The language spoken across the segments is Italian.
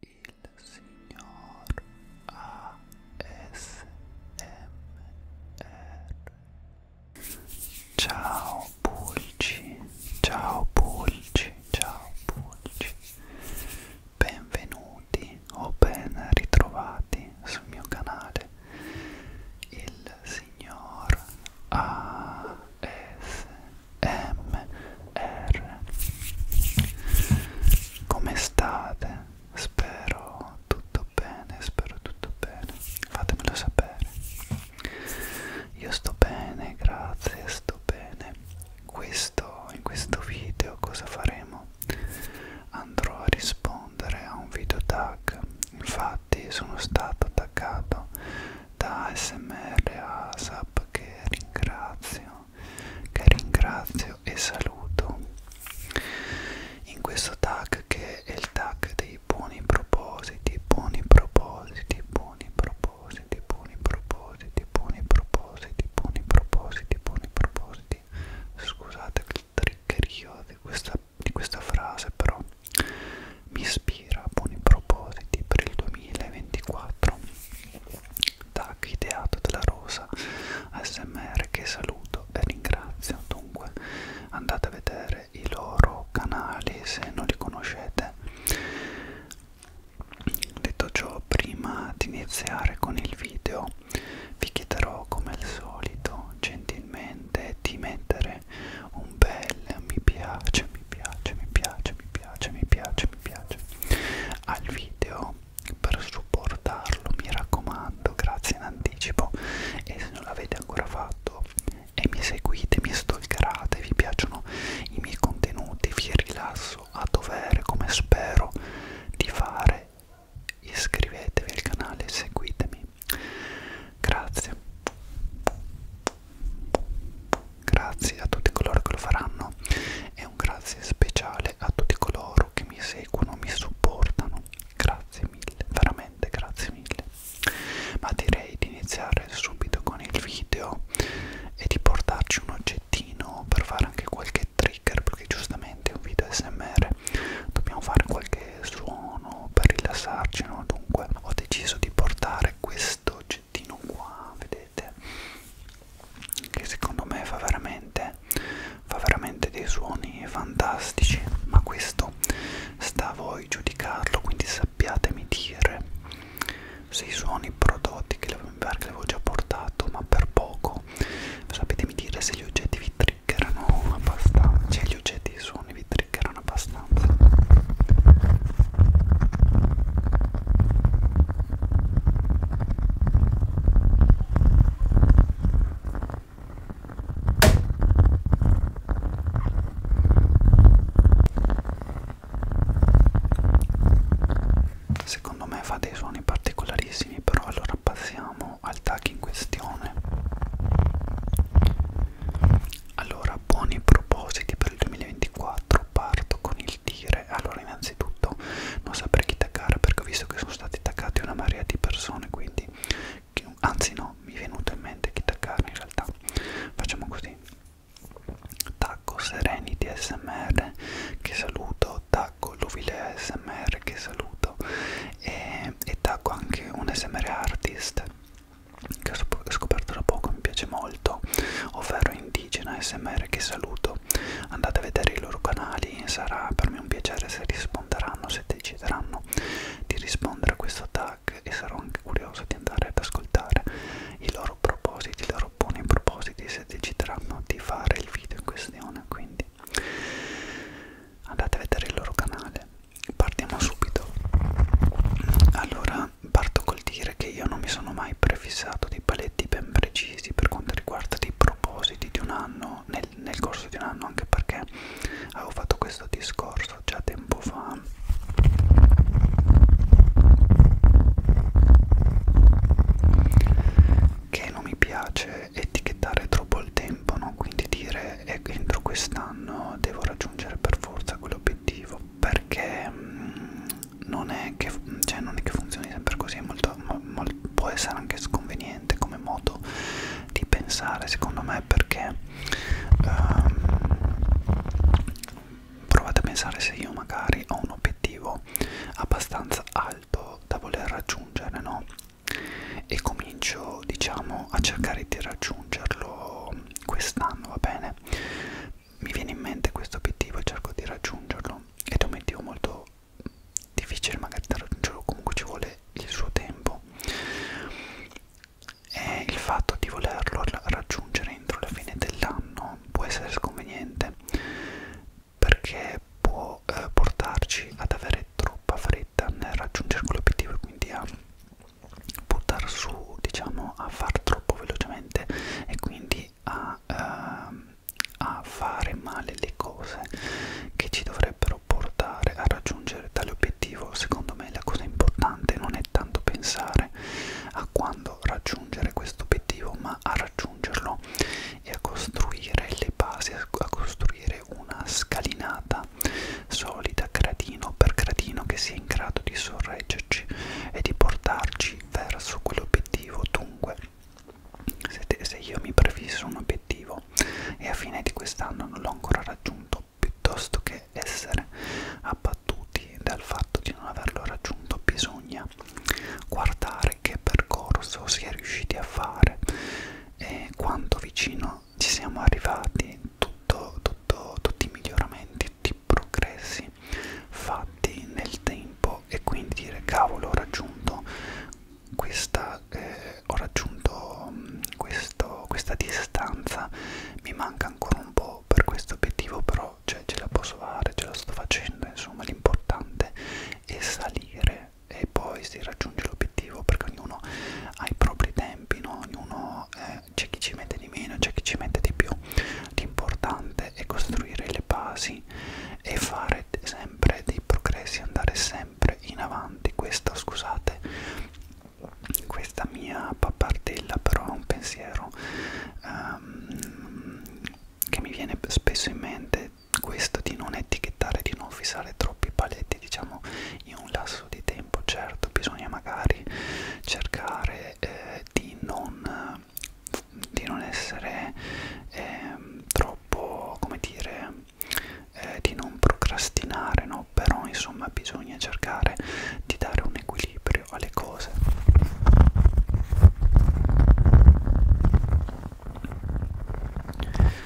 il signor ASMR Ciao Pulci, ciao Pulci, ciao Pulci Benvenuti o ben ritrovati sul mio canale il signor ASMR MR Come state? Spero tutto bene, spero tutto bene Fatemelo sapere Io sto bene, grazie, sto bene questo, In questo video cosa faremo? Andrò a rispondere a un video tag Infatti sono stato attaccato da ASMR ASAP che ringrazio che ringrazio e saluto in questo tag che è il tag dei buoni propositi buoni propositi buoni propositi buoni propositi buoni propositi buoni propositi buoni propositi scusate il triccherio di questa, di questa frase però mi ispira a buoni propositi per il 2024 Tac ideato dalla rosa ASMR che saluto e ringrazio dunque andate a vedere i loro canali se non li conoscete detto ciò prima di iniziare con il video vi chiederò come al solito gentilmente di mettere un bel mi piace mi piace mi piace mi piace, mi piace, mi piace al video per supportarlo, mi raccomando, grazie in anticipo e se non l'avete ancora fatto e mi seguite, mi stalkerate, vi piacciono i miei contenuti, vi rilasso a dovere come spero di fare, iscrivetevi al canale e seguitemi. Grazie grazie a tutti coloro che lo faranno e un grazie speciale a tutti coloro che mi seguono, mi supportano. Grazie mille, veramente grazie mille. Ma direi di iniziare subito con il video e di portarci un oggettino per fare anche qualche trigger perché giustamente un video smr dobbiamo fare qualche suono per rilassarci no? dunque ho deciso di portare questo oggettino oggettino qua vedete che secondo me fa veramente fa veramente dei suoni fantastici ma questo sta a voi giudicarlo quindi sappiatemi dire se i suoni prodotti che avevo, che avevo già portato ma per poco sapetemi dire se gli oggetti vi triggerano abbastanza cioè gli oggetti e i suoni vi triggerano abbastanza Secondo me fa dei suoni particolarissimi, però allora passiamo al tag in questione. Allora, buoni propositi per il 2024, parto con il partire allora innanzitutto non saprei chi taggare perché ho visto che sono stati taggati una marea di persone quindi anzi no mi è venuto in mente chi taggare in realtà facciamo così tacco serenity smr che saluto tacco luvile smr che saluto e, e tacco anche un smr artist che ho scoperto da poco mi piace molto ovvero indigena smr che saluto andate a vedere i loro canali sarà per me un piacere se risponderanno se decideranno di rispondere a questo tag e sarò anche curioso di andare ad ascoltare i loro propositi i loro buoni propositi se decideranno di fare il video in questione quindi andate a vedere il loro canale partiamo subito allora parto col dire dire che io non mi sono mai prefissato dei paletti ben precisi per quanto riguarda dei propositi di un anno, nel, nel corso di un anno, anche perché avevo fatto questo discorso già tempo fa. Che non mi piace etichettare troppo il tempo, no? quindi dire eh, entro quest'anno devo raggiungere per forza quell'obiettivo perché mh, mm, non è che, cioè non è che funzioni sempre così, è molto, molto, può essere anche sconveniente come modo di pensare secondo me perché um, provate a pensare se io magari ho un obiettivo abbastanza alto da voler raggiungere no? e comincio diciamo a cercare di raggiungerlo quest'anno va bene mi viene in mente questo obiettivo e cerco di raggiungerlo ed è un obiettivo molto difficile magari da raggiungerlo comunque ci vuole il suo tempo e il fatto di volerlo raggiungere entro la fine dell'anno può essere sconveniente perché può eh, portarci ad avere troppa fretta nel raggiungere quell'obiettivo e quindi a buttar su diciamo a far troppo velocemente e quindi noi a, ehm, a fare male le cose che ci dovrebbero portare a raggiungere tale obiettivo secondo me la cosa importante non è tanto pensare a quando raggiungere questo obiettivo ma a raggiungerlo e a costruire le basi a costruire una scalinata solida gradino per gradino che sia in grado di sorreggerci e di portarci verso quell'obiettivo dunque se, te, se io mi prefisso un obiettivo e a fine di quest'anno non l'ho ancora raggiunto, piuttosto che essere abbattuti dal fatto di non averlo raggiunto, bisogna guardare che percorso si è riusciti a fare e quanto vicino ci siamo arrivati, tutto, tutto, tutti i miglioramenti, tutti i progressi passi fatti nel tempo e quindi dire cavolo ho raggiunto questa, eh, ho raggiunto mm, questo, questa distanza, mi manca ancora un po' per questo obiettivo, però cioè, ce la posso fare, ce la sto facendo, insomma l'importante è salire e poi si raggiunge l'obiettivo perché ognuno ha i propri tempi, no? ognuno eh, c'è chi ci mette di meno, c'è chi ci mette di più, l'importante è costruire le basi avanti e fare sempre dei progressi, andare sempre in avanti. Questa, scusate, questa mia pappardella però è un pensiero um, che mi viene spesso in mente, questo di non etichettare, di non fissare troppi paletti, diciamo, in un lasso di tempo. Certo, bisogna magari cercare eh, di non di non essere eh, troppo come dire eh, di non procrastinare no però insomma bisogna cercare di dare un equilibrio alle cose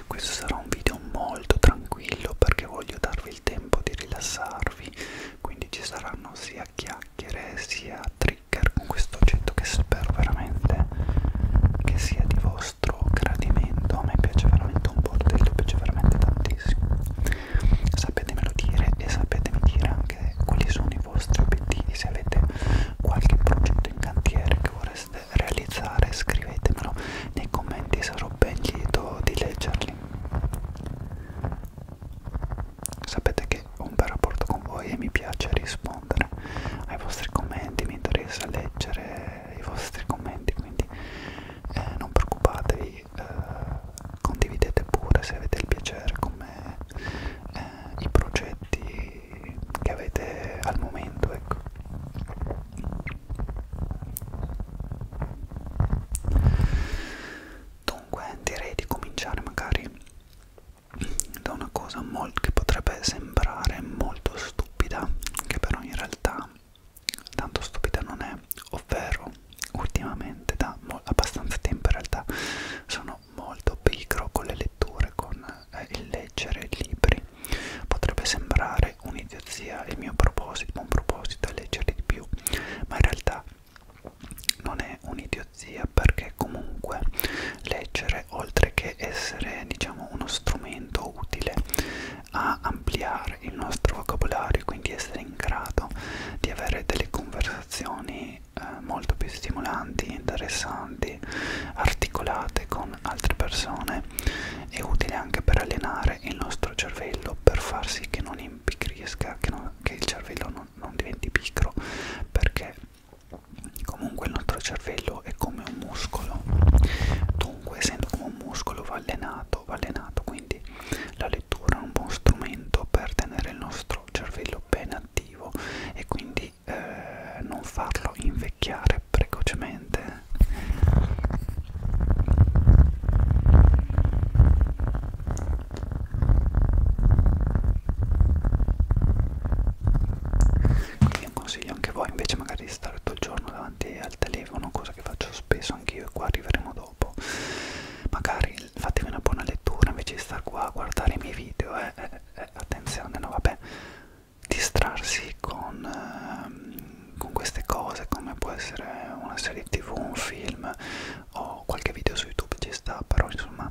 questo sarà un video molto tranquillo perché voglio darvi il tempo di rilassarvi quindi ci saranno sia chiacchiere sia trigger con questo oggetto che spero veramente che sia di vostro gradimento a me piace veramente un bordello piace veramente tantissimo sapetemelo dire e sapetemi dire anche quali sono i vostri obiettivi se avete qualche progetto in cantiere che vorreste realizzare scrivetemelo nei commenti sarò ben lieto di leggerli sapete che che ho un bel rapporto con voi e mi piace rispondere ai vostri commenti, mi interessa leggere i vostri commenti, quindi eh, non preoccupatevi, eh, condividete pure se avete il piacere con me eh, i progetti che avete al momento, ecco. Dunque direi di cominciare magari da una cosa molto, che potrebbe sembrare molto stupida, che però in realtà tanto stupida non è, ovvero ultimamente da abbastanza tempo in realtà sono molto pigro con le letture, con eh, il leggere libri. Potrebbe sembrare un'idiozia il mio proposito, buon proposito è leggere di più, ma in realtà non è un'idiozia zio zia perché comunque leggere oltre che essere diciamo uno strumento utile a ampliare il nostro vocabolario quindi essere in grado di avere delle conversazioni eh, molto più stimolanti interessanti articolate con altre persone è utile anche per allenare il nostro cervello per far sì che non impicrisca che, non, che il cervello non, non diventi picro perché Comunque il nostro cervello è come un muscolo, dunque essendo come un muscolo va allenato, va allenato, quindi la lettura è un buon strumento per tenere il nostro cervello ben attivo e quindi eh, non farlo invecchiare precocemente quindi un consiglio anche voi invece magari di stare tutto il giorno davanti al telefono cosa che faccio spesso anch'io e qua arriveremo dopo magari fatevi una buona lettura invece di star qua a guardare i miei video eh, eh, eh, attenzione no vabbè distrarsi con, ehm, con queste cose come può essere una serie tv un film o qualche video su youtube ci sta però insomma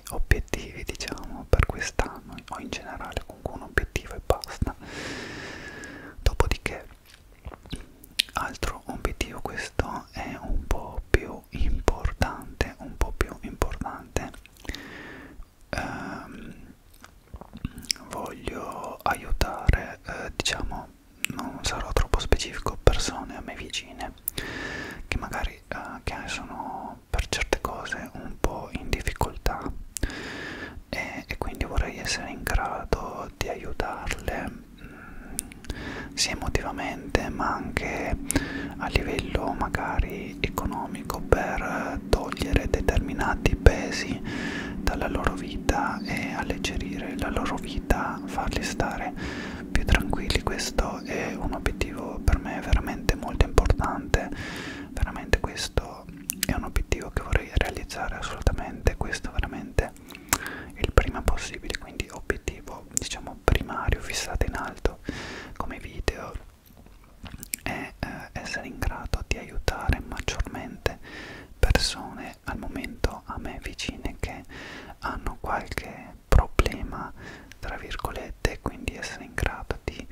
miei obiettivi diciamo per quest'anno o in generale comunque un obiettivo e basta dopodiché altro obiettivo questo è un po' più importante un po' più importante ehm, voglio aiutare eh, diciamo non sarò troppo specifico persone a me vicine che magari eh, che sono per certe cose un po' in difficoltà e, e quindi vorrei essere in grado di aiutarle mh, mm, sia emotivamente ma anche a livello magari economico per togliere determinati pesi dalla loro vita e alleggerire la loro vita farli stare più tranquilli questo è un obiettivo per me veramente veramente molto importante veramente questo è un obiettivo che vorrei realizzare assolutamente questo veramente il prima possibile quindi obiettivo diciamo primario fissato in alto come video è eh, essere in grado di aiutare maggiormente persone al momento a me vicine che hanno qualche problema, tra virgolette, quindi essere in grado di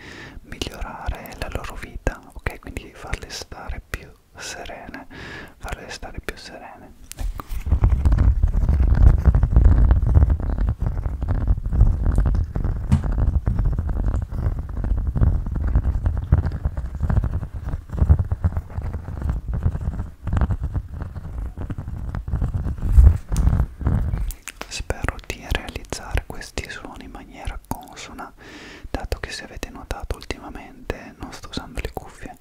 migliorare la loro vita, ok? Quindi farle stare più serene, farle stare più serene. Ecco spero di realizzare questi suoni in maniera consona dato che se avete notato ultimamente non sto usando le cuffie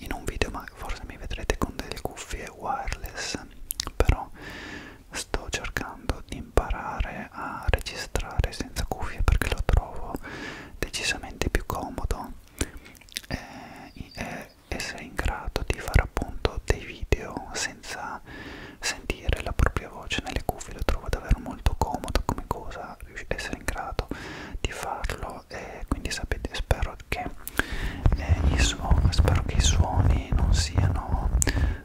in un video ma forse mi vedrete con delle cuffie wireless però sto cercando di imparare a registrare senza cuffie perché lo trovo decisamente più comodo e essere in grado di fare appunto dei video senza sentire la propria voce nelle cuffie lo trovo davvero molto comodo come cosa riuscite ad essere in grado di farlo e quindi sapete spero che eh, i suoni spero che i suoni non siano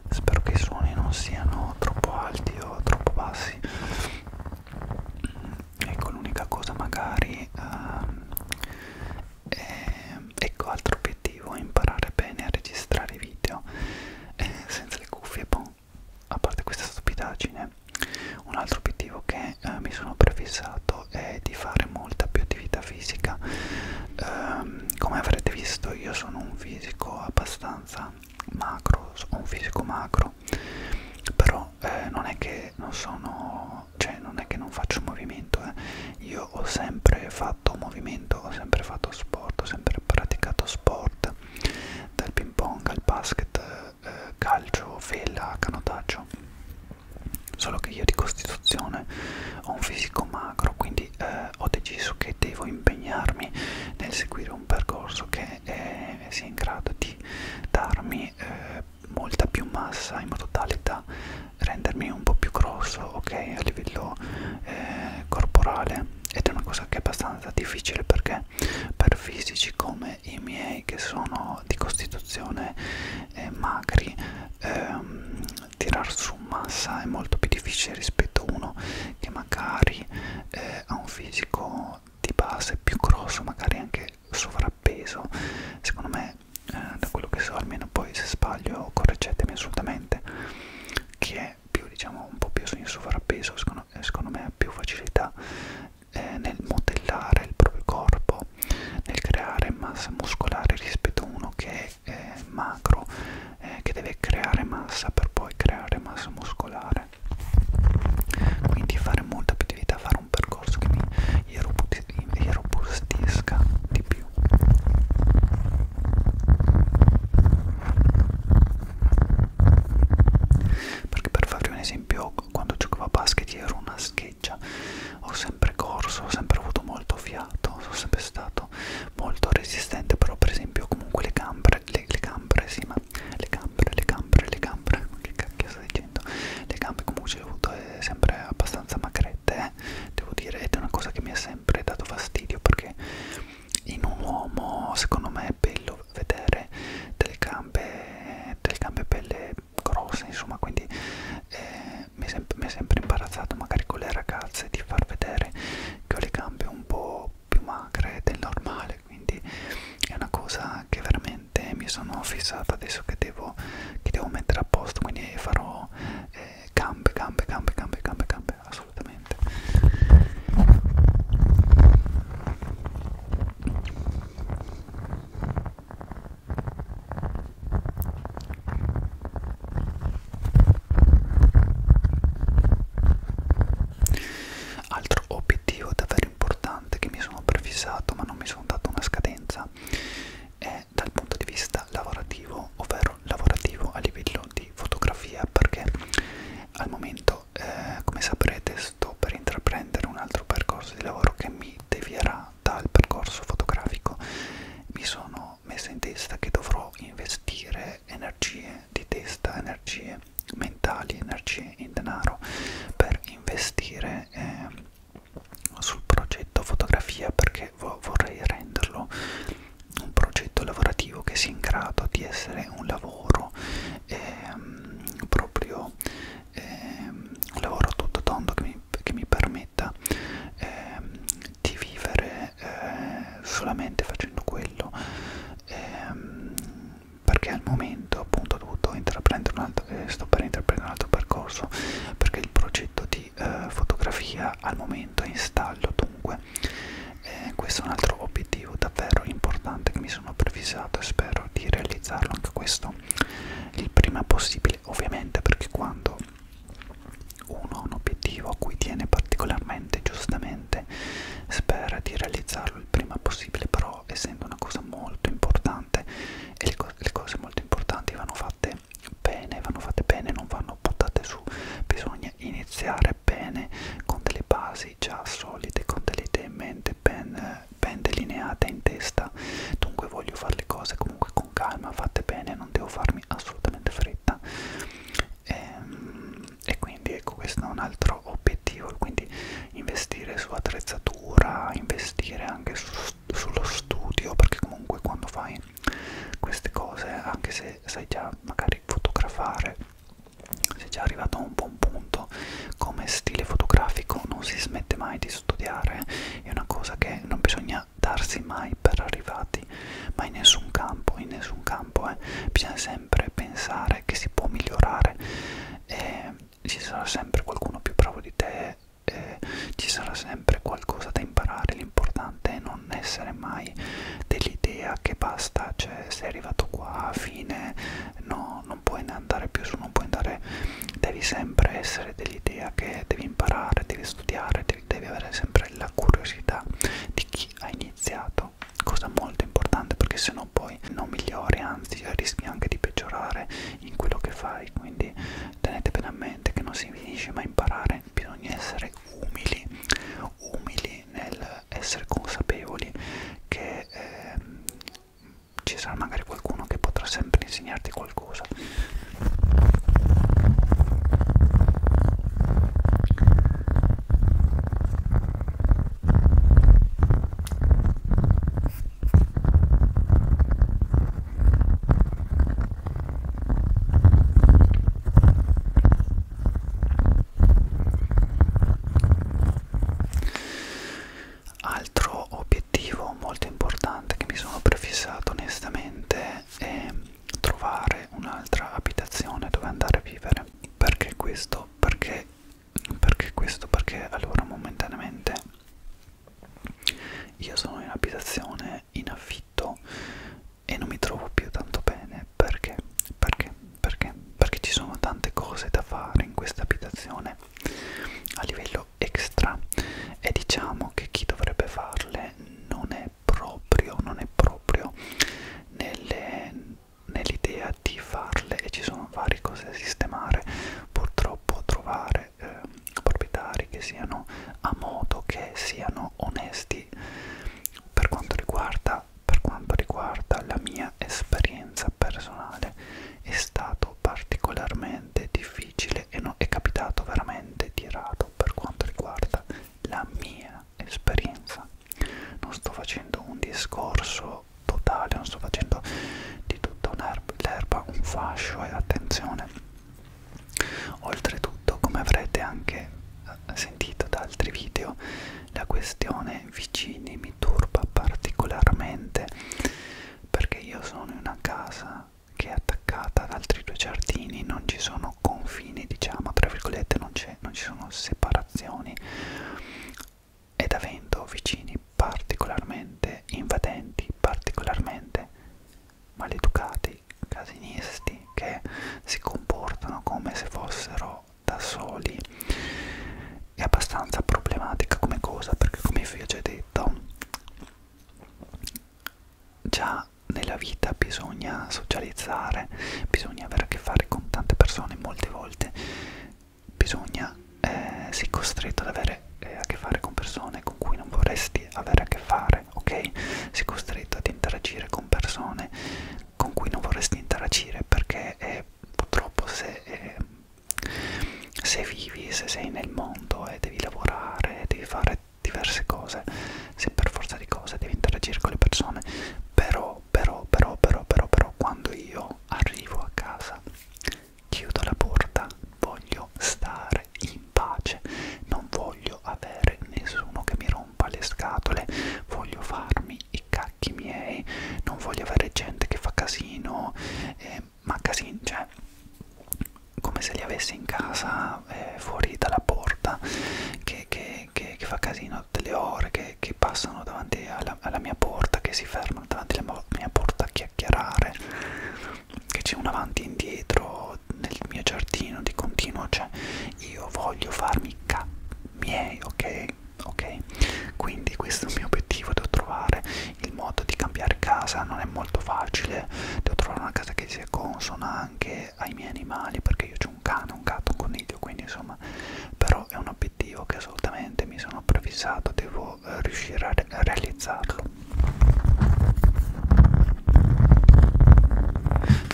spero che i suoni non siano troppo alti o troppo bassi ecco l'unica cosa magari ehm, eh, ecco altro obiettivo è imparare bene a registrare video eh, senza le cuffie boh. a parte questa stupidaggine un altro obiettivo che eh, mi sono prefissato è di fare molta più attività fisica eh, come avrete visto io sono un fisico abbastanza macro ho un fisico macro però eh, non è che non sono cioè non è che non faccio movimento eh io ho sempre fatto movimento, ho sempre fatto sport, ho sempre praticato sport, dal ping pong al basket, eh, calcio, vela, canottaggio. Solo che io di costituzione ho un fisico magro, quindi eh, ho deciso che devo impegnarmi nel seguire un percorso che eh, sia in grado di darmi eh, molta più massa in modo tale da rendermi un po' più grosso ok a livello eh, corporale ed è una cosa che è abbastanza difficile perché per fisici come i miei che sono di costituzione eh, magri ehm, tirar su massa è molto più difficile rispetto a uno che magari eh, ha un fisico di base più grosso magari anche sovrappeso secondo me eh, da quello che so almeno poi se sbaglio correggetemi assolutamente che è più diciamo un po' più in sovrappeso secondo, eh, secondo me ha più facilità eh, nel modellare il proprio corpo nel creare massa muscolare rispetto a uno che è eh, macro eh, che deve creare massa per poi creare massa muscolare quindi fare molta più attività fare un percorso che mi irrobustisca di più perché per farvi un esempio quando giocavo a basket ero una scheggia ho sempre corso ho sempre avuto molto fiato sono sempre stato molto resistente però per esempio comunque le cambre le, le cambre sì ma le cambre le cambre le cambre ma che cacchio sto dicendo le gambe comunque le ho avute sempre abbastanza magre strette, eh. devo dire, ed è una cosa che mi ha sempre dato fastidio perché in un uomo secondo me è bello vedere delle gambe, delle gambe belle grosse, insomma, quindi eh, mi, è sempre, mi è sempre imbarazzato magari con le ragazze di far vedere che ho le gambe un po' più magre del normale, quindi è una cosa che veramente mi sono fissata adesso che devo, che devo mettere a posto, quindi farò... Eh, eh, gambe, gambe, gambe, gambe, gambe, gambe, assolutamente. Altro obiettivo davvero importante che mi sono prefissato ma non mi sono dato una scadenza è è dal punto di vista lavorativo, ovvero lavorativo a livello di fotografia, perché al momento, eh, come saprete, sto per intraprendere un altro percorso di lavoro che mi devierà dal percorso fotografico. Mi sono messa in testa che dovrò investire energie di testa, energie mentali, energie in denaro per investire eh, sul progetto fotografia perché vorrei renderlo un progetto lavorativo che sia in grado di essere un lavoro ehm, proprio ehm, un lavoro tutto tondo che mi, che mi permetta ehm, di vivere eh, solamente facendo quello ehm, perché al momento appunto ho dovuto intraprendere un altro, eh, sto per intraprendere un altro percorso perché il progetto di di eh, fotografia al momento in stallo dunque eh, questo è un altro obiettivo davvero importante che mi sono prefisato e spero di realizzarlo anche questo il prima possibile ovviamente perché quando uno ha un obiettivo a cui tiene particolarmente giustamente spera di realizzarlo il prima possibile però essendo una cosa molto importante e le, co le cose molto importanti vanno fatte fatte bene, vanno fatte bene, non vanno buttate su, bisogna iniziare bene con delle basi già solide, con delle idee in mente ben, ben delineate in testa, dunque voglio fare le cose comunque con calma, fatte bene, non devo farmi assolutamente fretta e, ehm, e quindi ecco questo è un altro obiettivo, quindi investire su attrezzatura, investire anche su, sullo studio perché comunque quando fai queste cose anche se se sai già magari fotografare, sei già arrivato a un buon punto, come stile fotografico non si smette mai di studiare, è una cosa che non bisogna darsi mai per arrivati, ma in nessun campo, in nessun campo, eh, bisogna sempre pensare che si può migliorare, eh, ci sarà sempre qualcuno più bravo di te, eh, ci sarà sempre qualcosa da imparare, l'importante importante è non essere mai dell'idea che basta, cioè sei arrivato qua, fine, no, non puoi andare più su, non puoi andare, devi sempre essere dell'idea che devi imparare, devi studiare, devi, devi avere sempre la curiosità di chi ha iniziato, cosa molto importante perché se no poi non migliori, anzi cioè, rischi anche di peggiorare in quello che fai, quindi tenete bene a mente che non si finisce mai imparare, bisogna essere essere umili, umili nel essere consapevoli che eh, ci sarà magari qualcuno che potrà sempre insegnarti qualcosa. Altro obiettivo molto importante che mi sono prefissato onestamente è trovare un'altra abitazione dove andare a vivere. Perché questo? Perché, perché questo? Perché allora momentaneamente io sono in abitazione è in affitto e non mi trovo più tanto bene perché perché perché perché ci sono tante cose da fare in questa abitazione a livello extra e diciamo che chi dovrebbe farle non è proprio non è proprio nell'idea nell di farle e ci sono varie cose da sistemare purtroppo trovare eh, proprietari che siano a modo che siano sono onesti per quanto riguarda, per quanto riguarda la mia esperienza personale è stato particolarmente difficile e no, è capitato veramente di rado per quanto riguarda la mia esperienza non sto facendo un discorso totale non sto facendo di tutta l'erba un fascio e eh, attenzione Oltretutto, come avrete anche eh, sentito da altri video, la questione vicini mi turba particolarmente perché io sono in una casa che è attaccata ad altri due giardini, non ci sono confini, diciamo, tra virgolette, non, non ci sono separazioni ed avendo vicini particolarmente invadenti, particolarmente maleducati, casinisti che si comportano come se fossero da soli è abbastanza problematica come cosa perché come vi ho già detto già nella vita bisogna socializzare bisogna avere a che fare con tante persone molte volte bisogna eh, si costretto ad avere eh, a che fare con persone con cui non vorresti avere a che fare fare, ok? Sei costretto ad interagire con persone con cui non vorresti interagire perché eh, purtroppo se, eh, se vivi, se sei nel mondo e eh, devi lavorare, devi fare diverse cose, se per forza di cose devi interagire con le persone, però, però, però, però, però, però, quando io arrivo a casa, chiudo la porta, voglio stare in pace, non voglio avere nessuno che mi rompe rompa le scatole, voglio farmi i cacchi miei, non voglio avere gente che fa casino, eh, ma casino, cioè come se li avessi in casa eh, fuori dalla porta che, che, che, che fa casino tutte le ore che, che passano davanti alla, alla mia porta che si fermano davanti alla mia porta a chiacchierare che c'è un avanti e indietro nel mio giardino di continuo cioè io voglio farmi cap miei, ok? Ok? Quindi questo è il mio obiettivo, devo trovare il modo di cambiare casa, non è molto facile, devo trovare una casa che sia consona anche ai miei animali, perché io ho un cane, un gatto, un coniglio, quindi insomma, però è un obiettivo che assolutamente mi sono prefissato, devo eh, riuscire a, re a realizzarlo.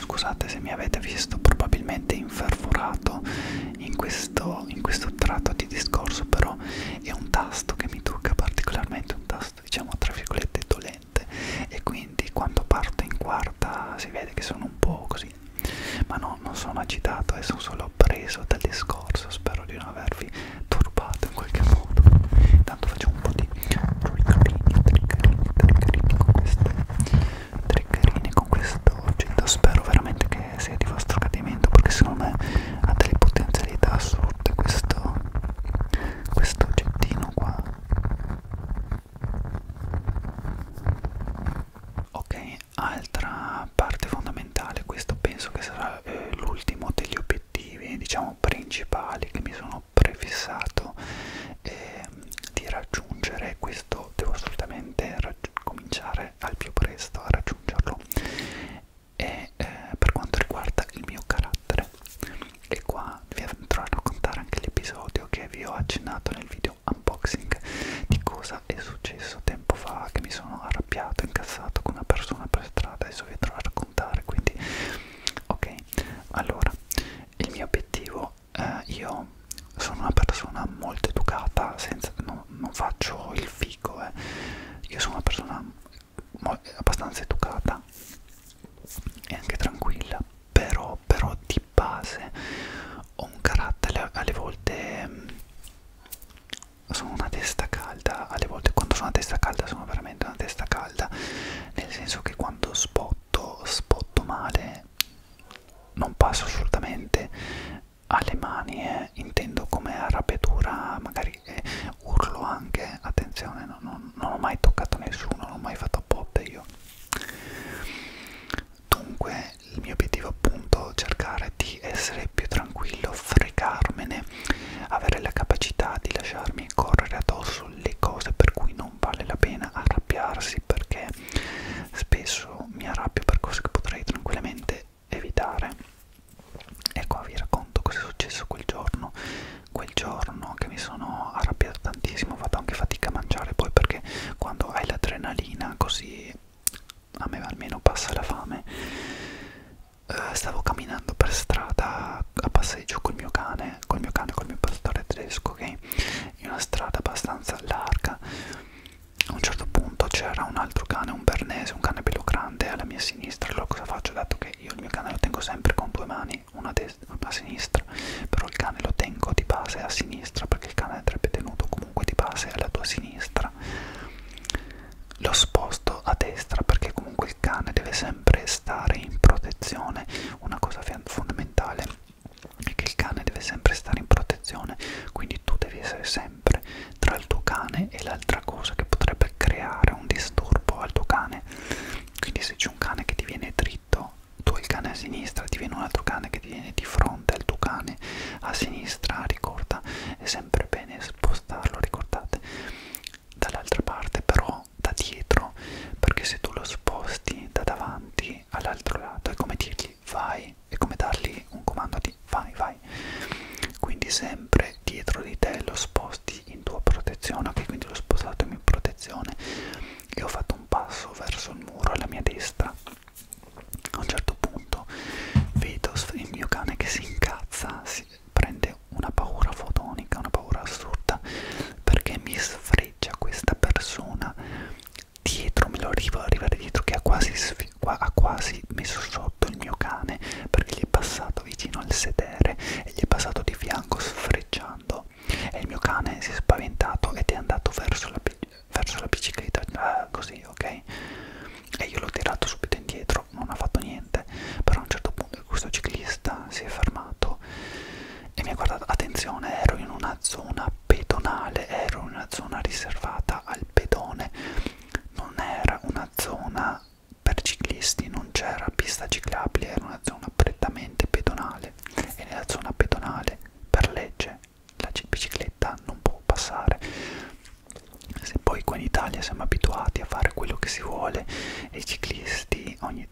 Scusate se mi avete visto probabilmente infervorato in questo, in questo tratto di discorso, però è un tasto che mi tocca particolarmente, un tasto diciamo tra virgolette dolente e quindi quando parto in quarta si vede che sono un po' così, ma no, non sono agitato e eh, sono solo preso dal discorso, spero di non avervi turbato in qualche modo. Intanto faccio un po' di triggerini, triggerini, triggerini con queste triggerine con questo oggetto spero veramente che sia di vostro gradimento perché secondo me ha delle potenzialità assurde questo, questo oggettino qua ok altra parte fondamentale questo penso che sarà eh, l'ultimo degli obiettivi diciamo principali che mi sono sono prefissato eh, di raggiungere questo devo assolutamente cominciare al più presto a raggiungerlo e eh, per quanto riguarda il mio carattere e qua vi andrò a raccontare anche l'episodio che vi ho accennato nel video unboxing di cosa è successo tempo fa che mi sono arrabbiato incazzato con una persona per strada adesso vi andrò a raccontare quindi ok allora il mio obiettivo eh, io sono una persona molto educata, senza, no, non faccio il figo, eh. io sono una persona abbastanza educata e anche tranquilla, però, però di base ho un carattere alle volte mm, sono una testa calda, alle volte quando sono una testa calda sono veramente una testa calda, nel senso che quando spotto, spotto male, non passo assolutamente alle mani, eh, intendo come arrabbiatura, magari eh, urlo anche, attenzione, non, non, non ho mai toccato nessuno, non ho mai fatto botte io. Dunque il mio obiettivo appunto è cercare di essere più tranquillo, fregarmene, avere la capacità di lasciarmi correre addosso le cose per cui non vale la pena arrabbiarsi perché spesso mi arrabbio per cose che potrei tranquillamente evitare. Ecco, vi racconto cosa è successo quel giorno. Quel giorno che mi sono arrabbiato tantissimo, ho fatto anche fatica a mangiare poi perché quando hai l'adrenalina così a me almeno passa la fame. Uh, stavo camminando per strada a passeggio col mio cane, col mio cane, col mio pastore tedesco, ok? in una strada abbastanza larga a un certo punto c'era un altro cane, un bernese, un cane bello grande alla mia sinistra allora cosa faccio? dato che io il mio cane lo tengo sempre con due mani una a destra, una a sinistra però il cane lo tengo di base a sinistra perché il cane andrebbe tenuto comunque di base alla tua sinistra lo sposto a destra perché comunque il cane deve sempre stare in protezione una cosa fondamentale è che il cane deve sempre stare in protezione, quindi tu devi essere sempre tra il tuo cane e l'altra cosa che potrebbe creare un disturbo al tuo cane. Quindi se c'è un cane che ti viene dritto, tu hai il cane a sinistra, ti viene un altro cane che ti viene di fronte al tuo cane a sinistra, ricorda, è sempre bene spostarlo, ricordate, dall'altra parte però da dietro, perché se tu lo sposti da davanti colleghi all'altro lato è come dirgli vai è come dargli un comando di vai vai quindi sempre dietro di te lo sposti in tua protezione ok quindi l'ho spostato in mia protezione e ho fatto un passo verso il muro alla mia destra a un certo punto vedo il mio cane che si incazza si prende una paura fotonica una paura assurda perché mi sfreggia questa persona dietro, me lo arrivo ad arrivare dietro che ha quasi, ha quasi messo sotto il mio cane perché gli è passato vicino al sedere e gli è passato di fianco sfrecciando e il mio cane si è spaventato ed è andato verso la, verso la bicicletta ah, così ok e io l'ho tirato subito indietro non ha fatto niente però a un certo punto questo ciclista si è fermato e mi ha guardato attenzione ero in una zona pedonale, era una zona riservata al pedone, non era una zona per ciclisti, non c'era pista ciclabile, era una zona prettamente pedonale e nella zona pedonale per legge la bicicletta non può passare. Se poi qua in Italia siamo abituati a fare quello che si vuole e i ciclisti ogni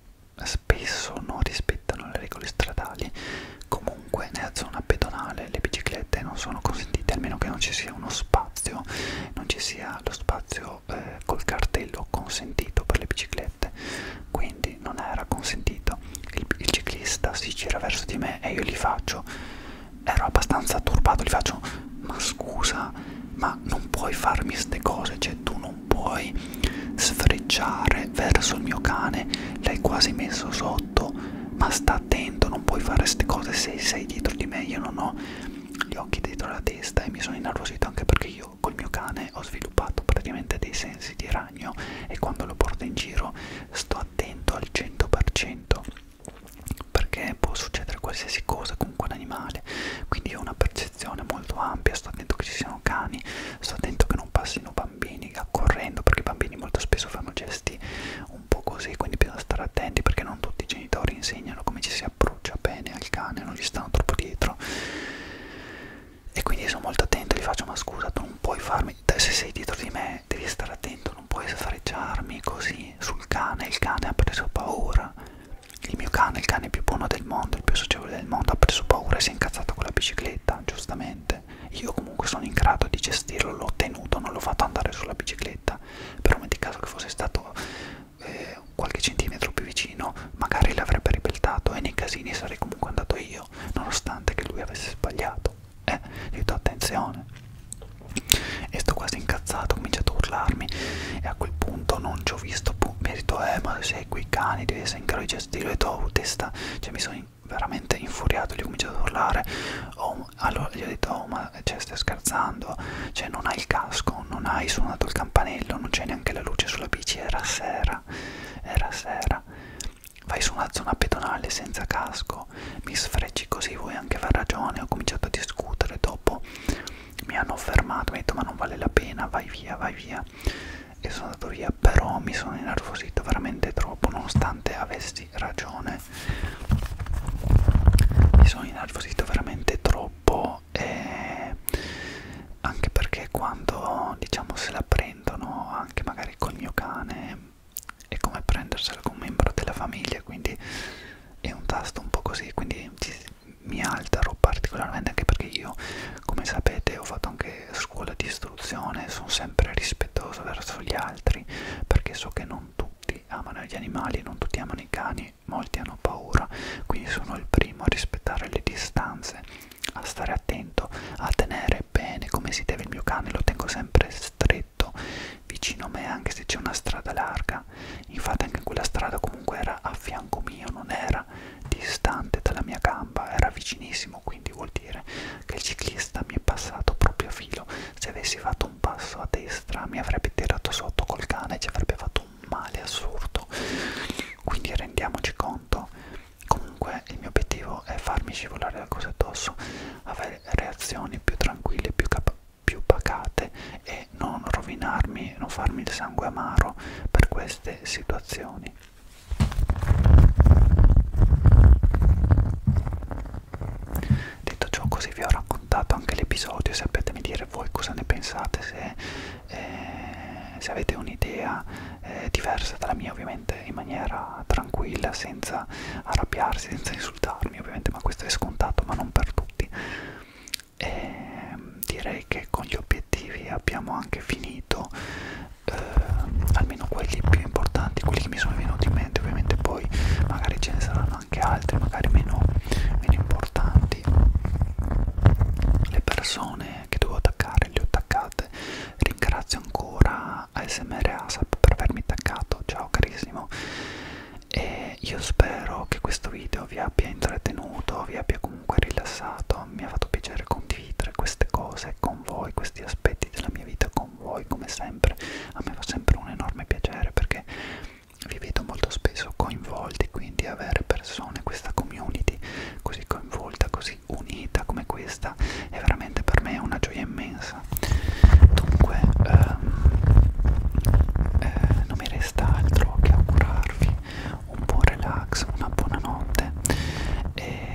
spesso non rispettano le regole stradali. Comunque nella zona pedonale le biciclette non sono consentite, almeno che non ci sia uno spazio, non ci sia lo spazio eh, col cartello consentito per le biciclette, quindi non era consentito. Il, il ciclista si gira verso di me e io gli faccio, ero abbastanza turbato, gli faccio ma scusa, ma non puoi farmi ste cose, cioè tu non puoi sfrecciare verso il mio cane, l'hai quasi messo sotto, ma sta attento, non puoi fare queste cose se sei dietro di me, io non ho gli occhi dietro la testa e mi sono innervosito anche perché io col mio cane ho sviluppato praticamente dei sensi di ragno e quando lo porto in giro sto attento al 100% perché può succedere qualsiasi cosa con quell'animale quindi ho una percezione molto ampia sto attento che ci siano cani sto attento che non passino bambini bambini accorrendo perché i bambini molto spesso fanno gesti un po' così quindi bisogna stare attenti perché non tutti i genitori insegnano come ci si approccia bene al cane non gli stanno troppo dietro e quindi sono molto attento gli faccio ma scusa tu non puoi farmi se sei dietro di me devi stare attento non puoi sfareggiarmi così sul cane il cane ha preso paura il mio cane, il cane più buono del mondo, il più socievole del mondo, ha preso paura e si è incazzato con la bicicletta, giustamente mese. Io comunque sono in grado di gestirlo, l'ho tenuto, non l'ho fatto andare sulla bicicletta, però metti caso che fosse stato eh, qualche centimetro più vicino, magari l'avrebbe ripeltato e nei casini sarei comunque andato io, nonostante che lui avesse sbagliato. Eh, gli ho detto attenzione. E sto quasi incazzato, ho cominciato a urlarmi e a quel punto non ci ho visto, boh, mi ha detto eh ma sei quei cani, devi essere in grado di gestirlo e tu ho testa, cioè mi sono veramente infuriato, gli ho cominciato ad urlare. Oh, allora gli ho detto: Oh, ma eh, cioè, stai scherzando? Cioè, non hai il casco, non hai suonato il campanello, non c'è neanche la luce sulla bici. Era sera, era sera. Vai su una zona pedonale senza casco, mi sfrecci così, vuoi anche aver ragione. Ho cominciato a discutere. Dopo mi hanno fermato, mi hanno detto: Ma non vale la pena, vai via, vai via e sono andato via però mi sono innervosito veramente troppo nonostante avessi ragione mi sono innervosito veramente troppo e anche perché quando diciamo se la prendono anche magari col mio cane è come prendersela con un membro della famiglia quindi è un tasto un po' così quindi mi altero particolarmente anche perché io come sapete ho fatto anche le scuole di istruzione sono sempre rispettoso verso gli altri perché so che non tutti amano gli animali, non tutti amano i cani, molti hanno paura, quindi sono il primo a rispettare le distanze, a stare attento, a tenere bene come si deve il mio cane, lo tengo sempre stretto vicino a me anche se c'è una strada larga, infatti anche quella strada comunque era a fianco mio, non era distante dalla mia gamba, era vicinissimo, quindi vuol dire che il ciclista mi è passato proprio a filo. Se avessi fatto un passo a destra mi avrebbe tirato sotto col cane e ci avrebbe fatto un male assurdo. Quindi rendiamoci conto. Comunque il mio obiettivo è farmi scivolare la cosa addosso, avere reazioni più tranquille, più capaci più pacate e non rovinarmi, non farmi il sangue amaro per queste situazioni. Detto ciò, così vi ho raccontato anche l'episodio. Sapetemi dire voi cosa ne pensate, se, eh, se avete un'idea eh, diversa dalla mia, ovviamente in maniera tranquilla, senza arrabbiarsi, senza insultarmi, ovviamente, ma questo è scontato, ma non per tutti. E ehm, direi che con gli obiettivi abbiamo anche finito eh, almeno quelli più importanti, quelli che mi sono venuti in mente, ovviamente poi magari ce ne saranno anche altri, magari meno, meno importanti. Le persone che dovevo attaccare le ho attaccate, ringrazio ancora ASMR ASAP per avermi attaccato, ciao carissimo e io spero che questo video vi abbia intrattenuto, vi abbia comunque rilassato, mi ha fatto piacere condividere queste cose con voi, questi aspetti della mia vita con voi come sempre a me fa sempre un enorme piacere perché vi vedo molto spesso coinvolti quindi avere persone questa community così coinvolta così unita come questa è veramente per me una gioia immensa dunque ehm, eh, non mi resta altro che augurarvi un buon relax una buona notte e